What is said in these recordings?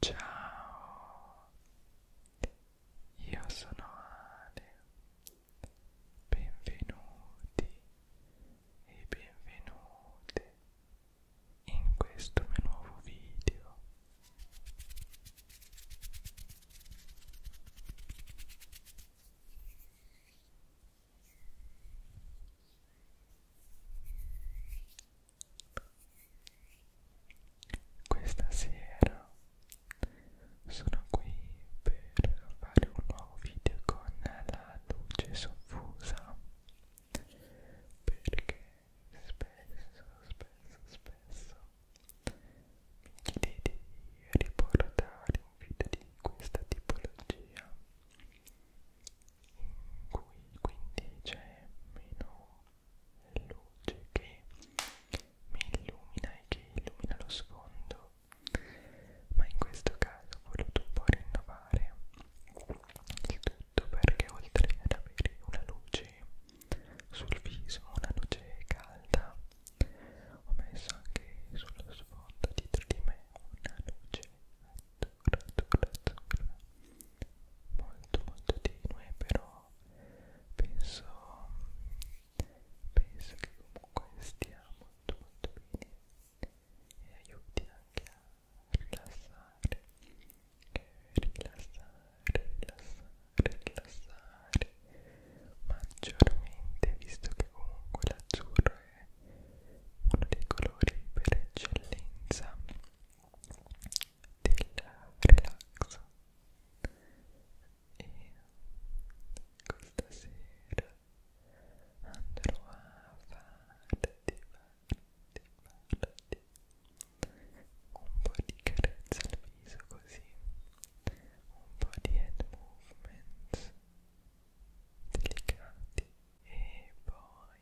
Ciao, io sono Ale, benvenuti e benvenute in questo mio nuovo video. Questa sera sono qui per fare un nuovo video con la luce soffusa perché spesso, spesso, spesso mi chiedete di riportare un video di questa tipologia in cui quindi c'è meno luce che mi illumina e che illumina lo sfondo ma in questo caso ho voluto un po' rinnovare il tutto perché oltre ad avere una luce sul viso, una luce calda ho messo anche sullo sfondo dietro di me una luce azzurra azzurra azzurra molto molto tenue però penso penso che comunque stia molto molto bene e aiuti anche a rilassare rilassare rilassare rilassare maggiormente visto che comunque l'azzurro è uno dei colori per eccellenza del relax e questa sera andrò a farti, farti, farti un po' di carezza al viso così un po' di head movements delicati e poi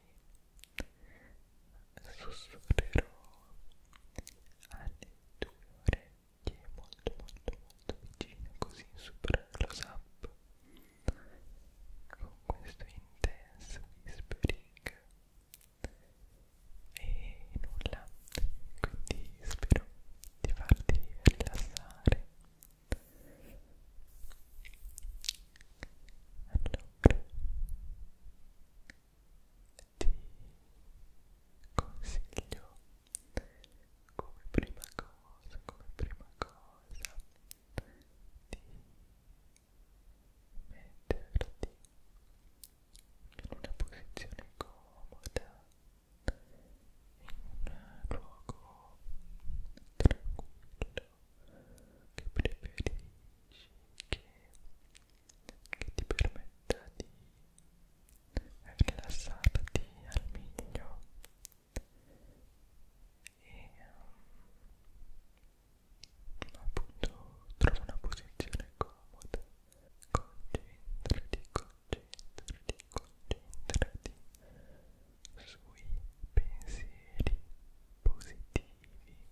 sussurrerò alle tue orecchie molto molto molto vicine così sopra lo sap con questo intenso whispering e nulla quindi spero di farti rilassare allora ti consiglio come prima cosa, come prima cosa di metterti in una posizione comoda in un luogo tranquillo che preferisci che, che ti permetta di rilassarti al meglio e mm, appunto trova una posizione comoda concentrati, concentrati, concentrati sui pensieri positivi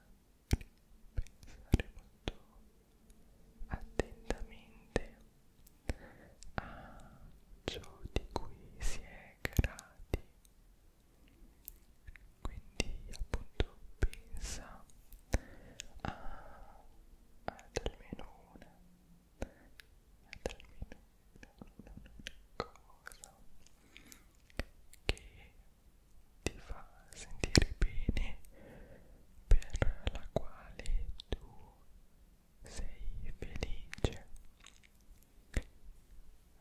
pensare molto attentamente a ciò di cui si è grati quindi appunto pensa a, ad almeno una ad almeno una, una, una cosa che ti fa sentire bene per la quale tu sei felice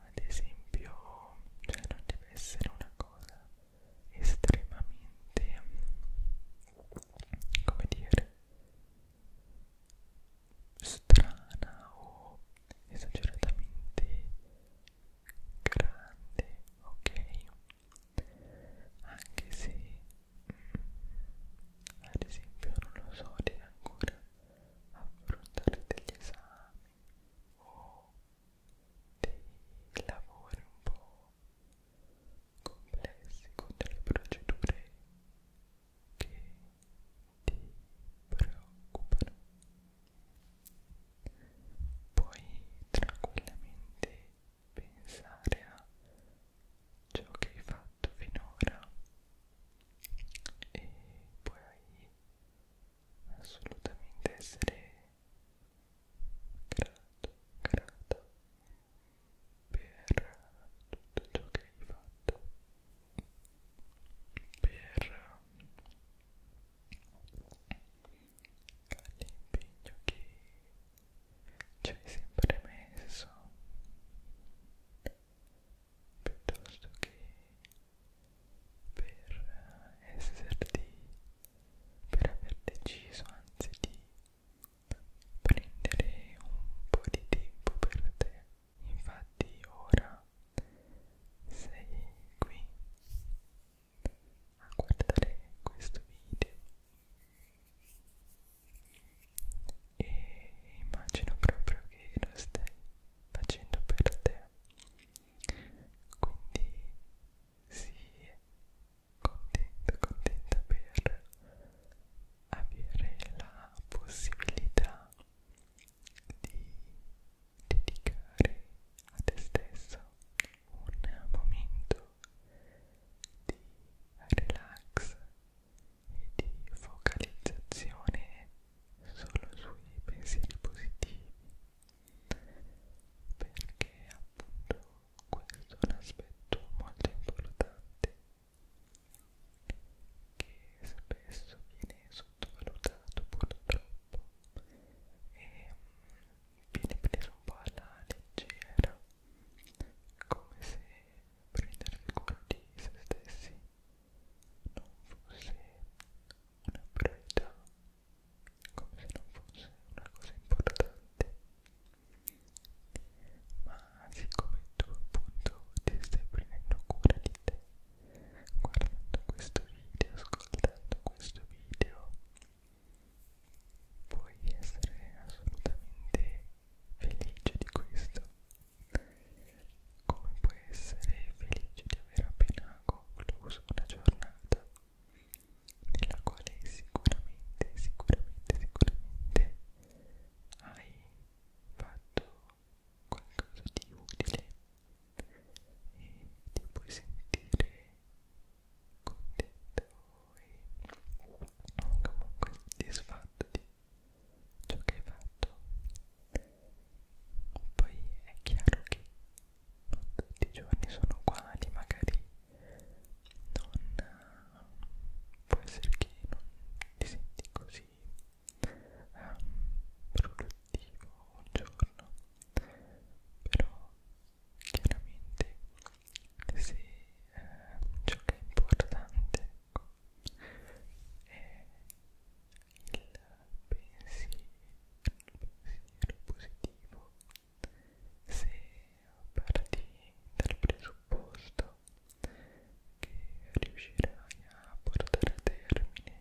ad esempio cioè non deve essere una cosa estremamente come dire strana o esageratamente grandi, ok? Anche se mh, mm, ad esempio non lo so di ancora affrontare degli esami o dei lavori un po' complessi con delle procedure che ti preoccupano. Puoi tranquillamente pensare a ciò che hai fatto finora e puoi assolutamente essere grato, grata per tutto ciò che hai fatto per all'impegno che ci hai sempre messo piuttosto che per eh, esserti per aver deciso anzi di prendere un po' di tempo per te infatti ora sei qui a guardare questo video e immagino proprio che lo stai facendo per te quindi sii contento contenta per avere la possibilità di dedicare a te stesso un momento di relax e di focalizzazione solo sui pensieri positivi perché appunto questo è un aspetto molto importante che spesso viene sottovalutato purtroppo e mm, viene preso un po' alla leggera come se prendersi cura di se stessi non fosse una priorità come se non fosse una cosa importante ma siccome tu appunto ti stai prendendo cura di te guardando questo video, ascoltando questo video puoi essere assolutamente felice di questo come puoi essere felice di aver appena concluso una giornata nella quale sicuramente, sicuramente, sicuramente hai fatto qualcosa di utile e ti puoi sentire contento e comunque soddisfatto di ciò che hai fatto poi è chiaro che non tutti i giorni sono uguali magari non può essere che non ti senti così Ehm, produttivo un giorno però chiaramente se eh, ciò che è importante ecco, è il pensiero, pensiero positivo se parti dal presupposto che riuscirai a portare a termine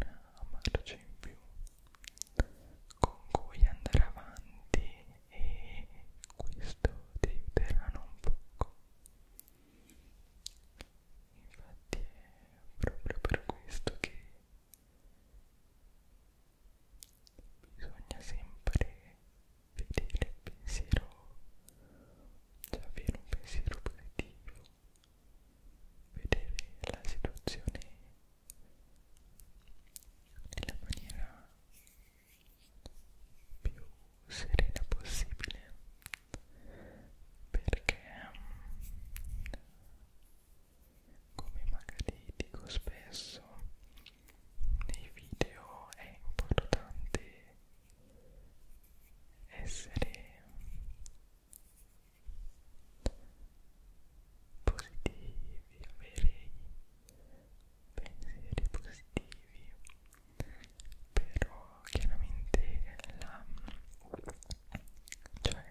una marcia in più con cui andare avanti e questo ti aiuterà non poco infatti è proprio per questo che bisogna sempre vedere il pensiero cioè avere un pensiero positivo vedere la situazione nella maniera più serena possibile perché come magari dico spesso nei video è importante essere positivi, avere pensieri positivi, però chiaramente la, cioè,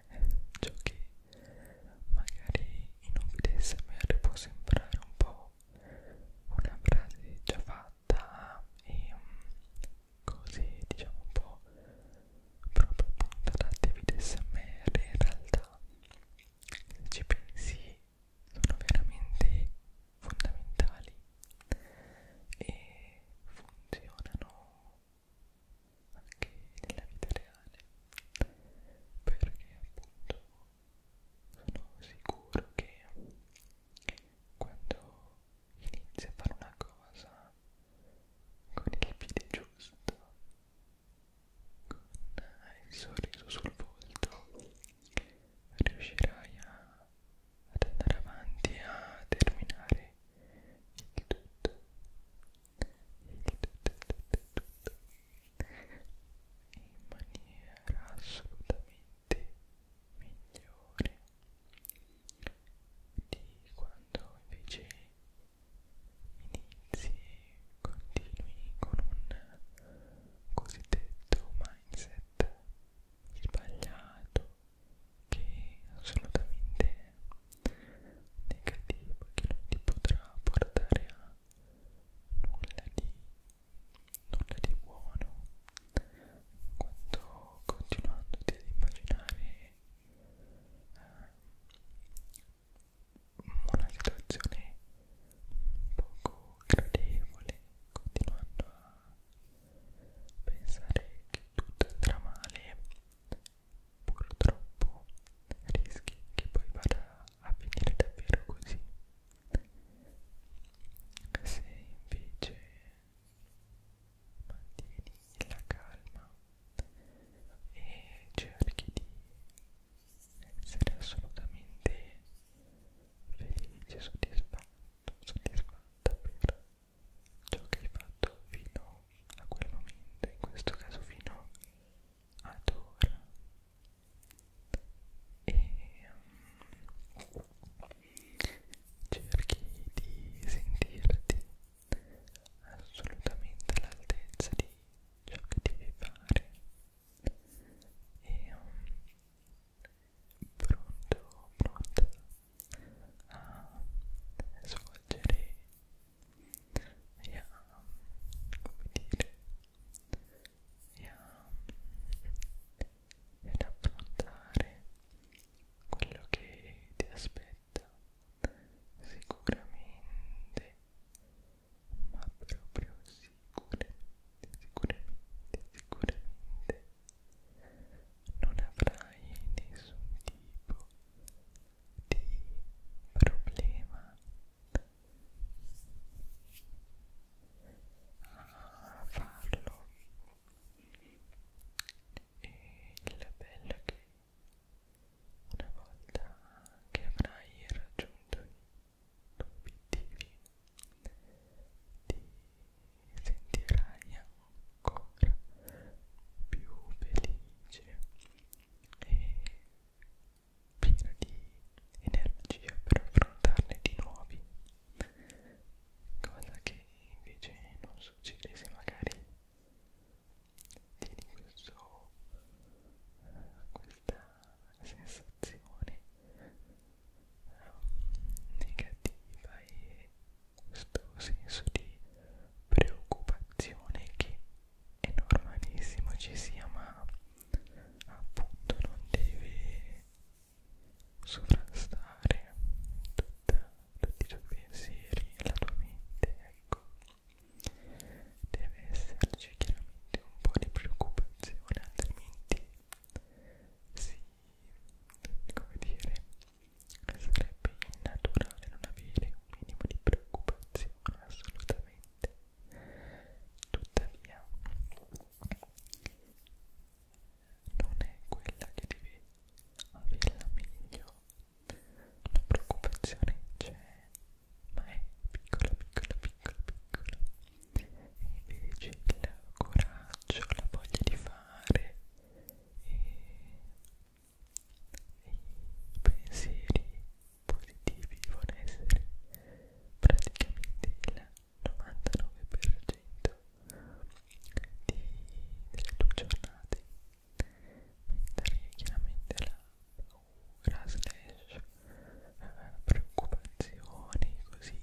ciò che magari in un video SMR può sembrare un po' una frase già fatta e um, cose diciamo un po' proprio puntate video smr in realtà se ci pensi sono veramente fondamentali e funzionano anche nella vita reale perché appunto sono sicuro che quando inizi a fare una cosa con il piede giusto, con il sorriso sul volto, riuscirai a, ad andare avanti e a terminare il tutto. Il tutto, tutto, tutto in maniera assolutamente migliore di quando invece inizi e continui con un cosiddetto mindset sbagliato che è assolutamente negativo che non ti potrà portare a nulla di, nulla di buono quanto continuandoti ad immaginare una situazione poco gradevole, continuando a pensare che tutto andrà male, purtroppo rischi che poi vada a finire davvero così. Se invece mantieni la calma e cerchi di essere assolutamente felice, soddisfatto, soddisfatta per ciò che hai fatto fino a quel momento, in questo caso fino ad ora. E um, cerchi di sentirti assolutamente all'altezza di ciò che devi fare e um, pronto, pronto a svolgere e a, come dire, e a, ed affrontare quello che ti aspetta sicuramente ma proprio sicuramente sicuramente sicuramente non avrai nessun tipo di problema a ah, farlo e il bello è che una volta che avrai raggiunto i tuoi obiettivi ti sentirai ancora più felice e piena di energia per affrontarne di nuovi cosa che invece non succede se magari tieni questo, questa sensazione ehm, negativa e questo senso di preoccupazione che è normalissimo ci sia ma appunto non deve sovrastare tu testa, tutti i tuoi pensieri, la tua mente, ecco. Deve esserci chiaramente un po' di preoccupazione, altrimenti si, come dire, sarebbe innaturale non avere un minimo di preoccupazione, assolutamente. Tuttavia, non è quella che devi avere la meglio. La preoccupazione c'è, ma è piccola, piccola, piccola, piccola. E invece il coraggio, la voglia di fare e i pensieri positivi devono essere praticamente il 99% di, delle tue giornate mentre chiaramente la paura slash eh, preoccupazioni così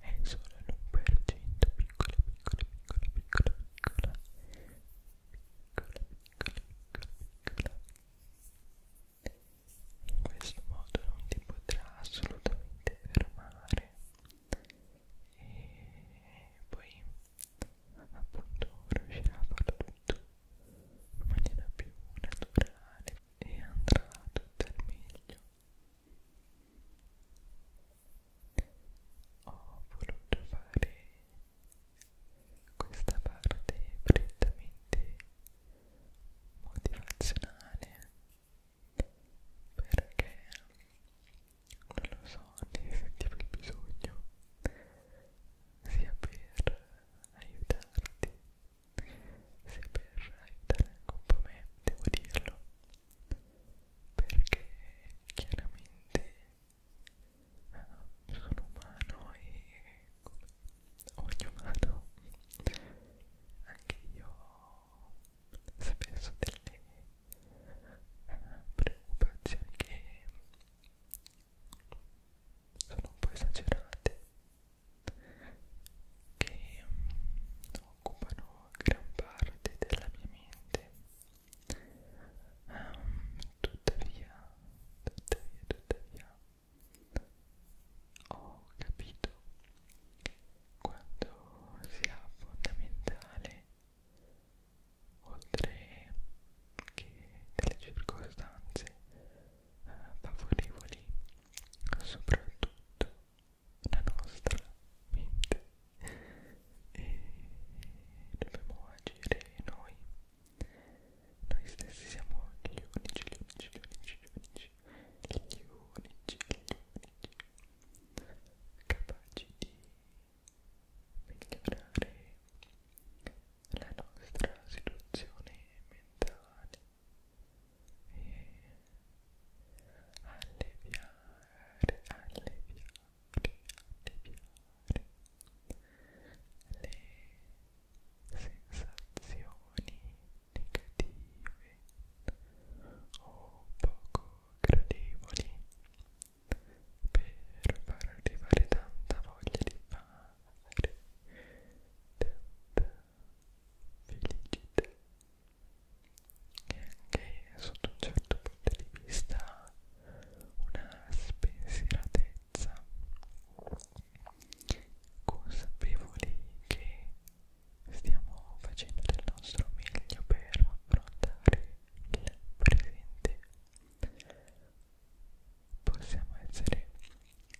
è solo l'1% piccola piccola piccola piccola piccola piccola piccola piccola piccola in questo modo non ti potrà assolutamente fermare e poi appunto riuscirà a farlo tutto in maniera più naturale e andrà tutto al meglio ho voluto fare questa parte prettamente motivazionale perché non lo so, ne sentivo il bisogno sia per aiutarti sia per aiutare anche un po' me, devo dirlo perché chiaramente eh, sono umano e come ogni umano anche io spesso delle preoccupazioni che sono un po' esagerate che mm, occupano gran parte della mia mente um, tuttavia tuttavia tuttavia ho capito quanto sia fondamentale oltre che delle circostanze eh, favorevoli, soprattutto la nostra mente e dobbiamo agire noi noi stessi siamo gli unici, gli unici, gli unici, gli unici, gli unici, gli unici capaci di migliorare la nostra situazione mentale e alleviare, alleviare, alleviare le sensazioni negative o poco gradevoli per far arrivare tanta voglia di fare tanta felicità e anche sotto un certo punto di vista una spensieratezza consapevoli che stiamo facendo del nostro meglio per affrontare il presente possiamo essere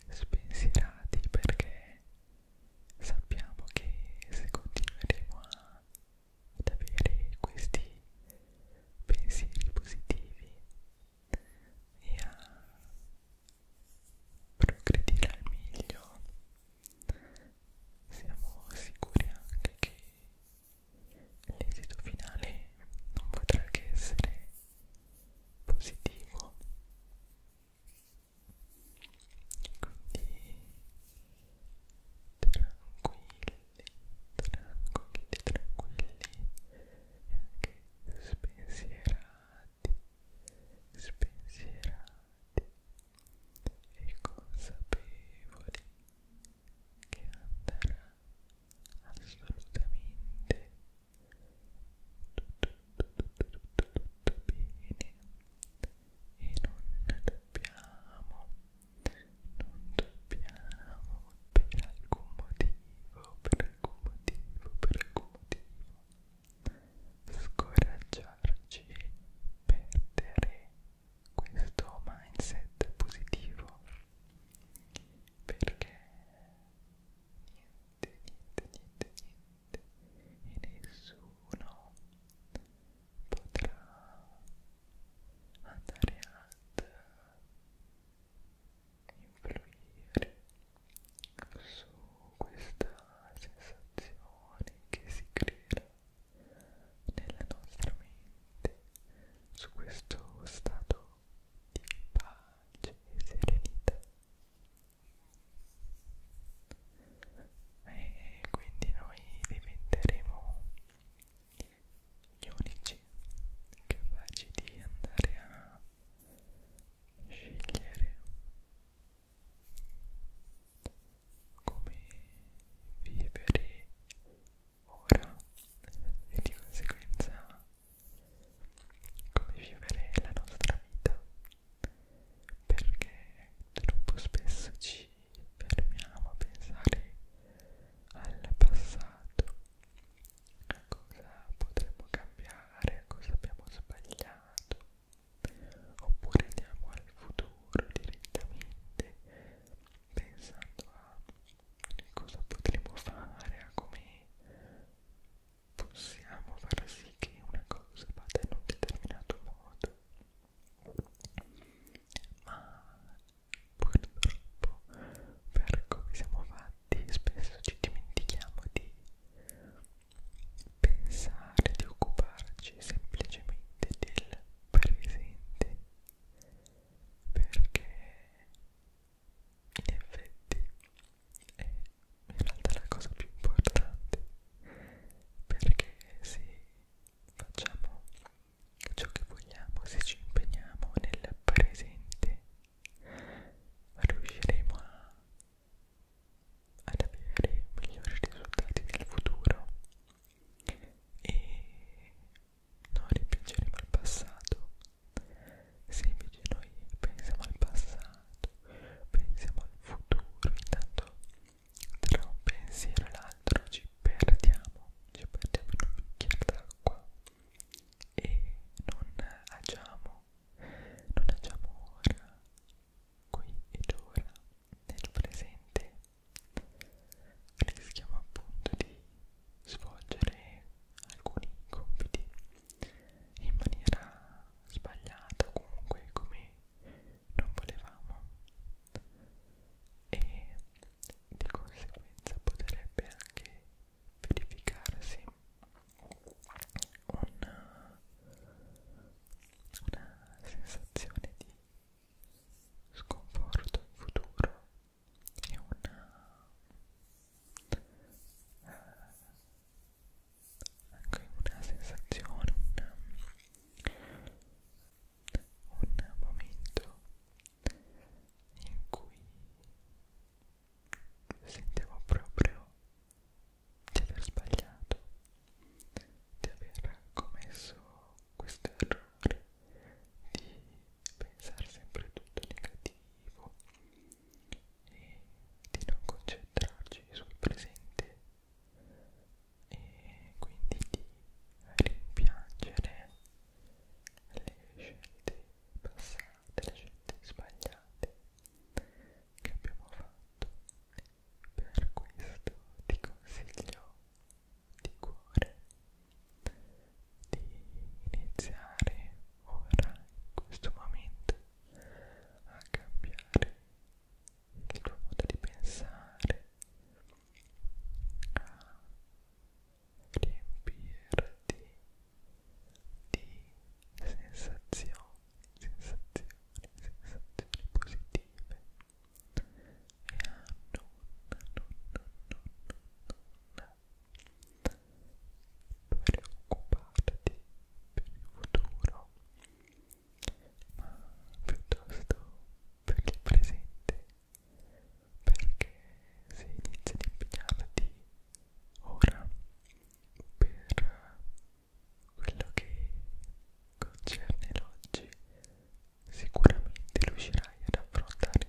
spensierati perché sappiamo che se continueremo ad avere questi pensieri positivi e a progredire al meglio siamo sicuri anche che l'esito finale non potrà che essere positivo quindi tranquilli tranquilli tranquilli e anche spensierati spensierati e consapevoli che andrà assolutamente tutto, tutto, tutto, tutto bene e non dobbiamo, non dobbiamo per alcun motivo, per alcun motivo, per alcun motivo scoraggiarci e perdere questo mindset positivo perché niente, niente, niente, niente e nessuno potrà andare ad influire su questa sensazione che si creerà nella nostra mente su questo stato di pace e serenità e quindi noi diventeremo gli unici capaci di andare a scegliere come vivere ora e di conseguenza come vivere la nostra vita perché troppo spesso ci fermiamo a pensare al passato a cosa potremmo cambiare a cosa abbiamo sbagliato oppure andiamo al futuro lavoro direttamente pensando a cosa potremo fare, a come possiamo far sì che una cosa vada in un determinato modo ma purtroppo per come siamo fatti spesso ci dimentichiamo di pensare, di occuparci semplicemente del presenti perché in effetti è in realtà la cosa più importante perché se facciamo ciò che vogliamo, se ci impegniamo nel presente riusciremo a, ad avere migliori risultati nel futuro e non ripiangeremo il passato se invece noi pensiamo al passato pensiamo al futuro intanto tra un pensiero e l'altro ci perdiamo ci perdiamo in un bicchiere d'acqua e non agiamo non agiamo ora qui ed ora nel presente rischiamo appunto di svolgere alcuni compiti in maniera sbagliata comunque come non volevamo e di conseguenza potrebbe anche verificarsi una, una sensazione di sconforto in futuro e una eh, anche una sensazione un, un momento in cui sentivo proprio di aver sbagliato di aver commesso questo errore di pensare sempre tutto negativo e di non concentrarci sul presente e quindi di rimpiangere le scelte passate, le scelte sbagliate che abbiamo fatto. Per questo ti consiglio di cuore di iniziare ora in questo momento a cambiare il tuo modo di pensare a riempirti di sensazioni sensazioni sensazioni positive e a nonna, nonna, nonna, nonna preoccuparti per il futuro ma piuttosto per il presente perché se inizi ad impegnarti ora per quello che concerne l'oggi Sicuramente riuscirai ad affrontare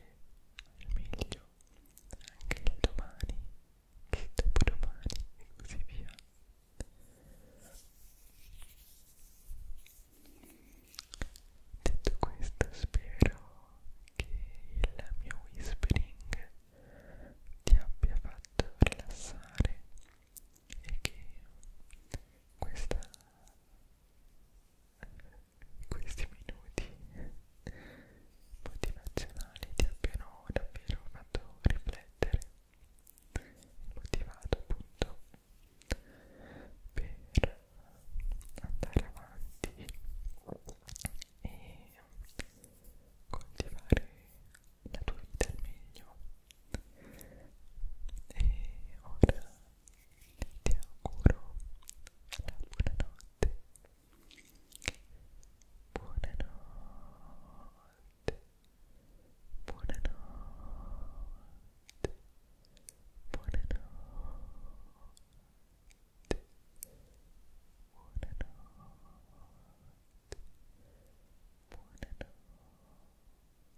al meglio anche il domani, il dopodomani e così via. Detto questo, spero che il mio whispering ti abbia fatto rilassare e che questa questi minuti motivazionali ti abbiano davvero fatto riflettere motivato appunto per andare avanti e coltivare la tua vita al meglio e ora ti auguro la buonanotte buonanotte buonanotte buonanotte buonanotte buonanotte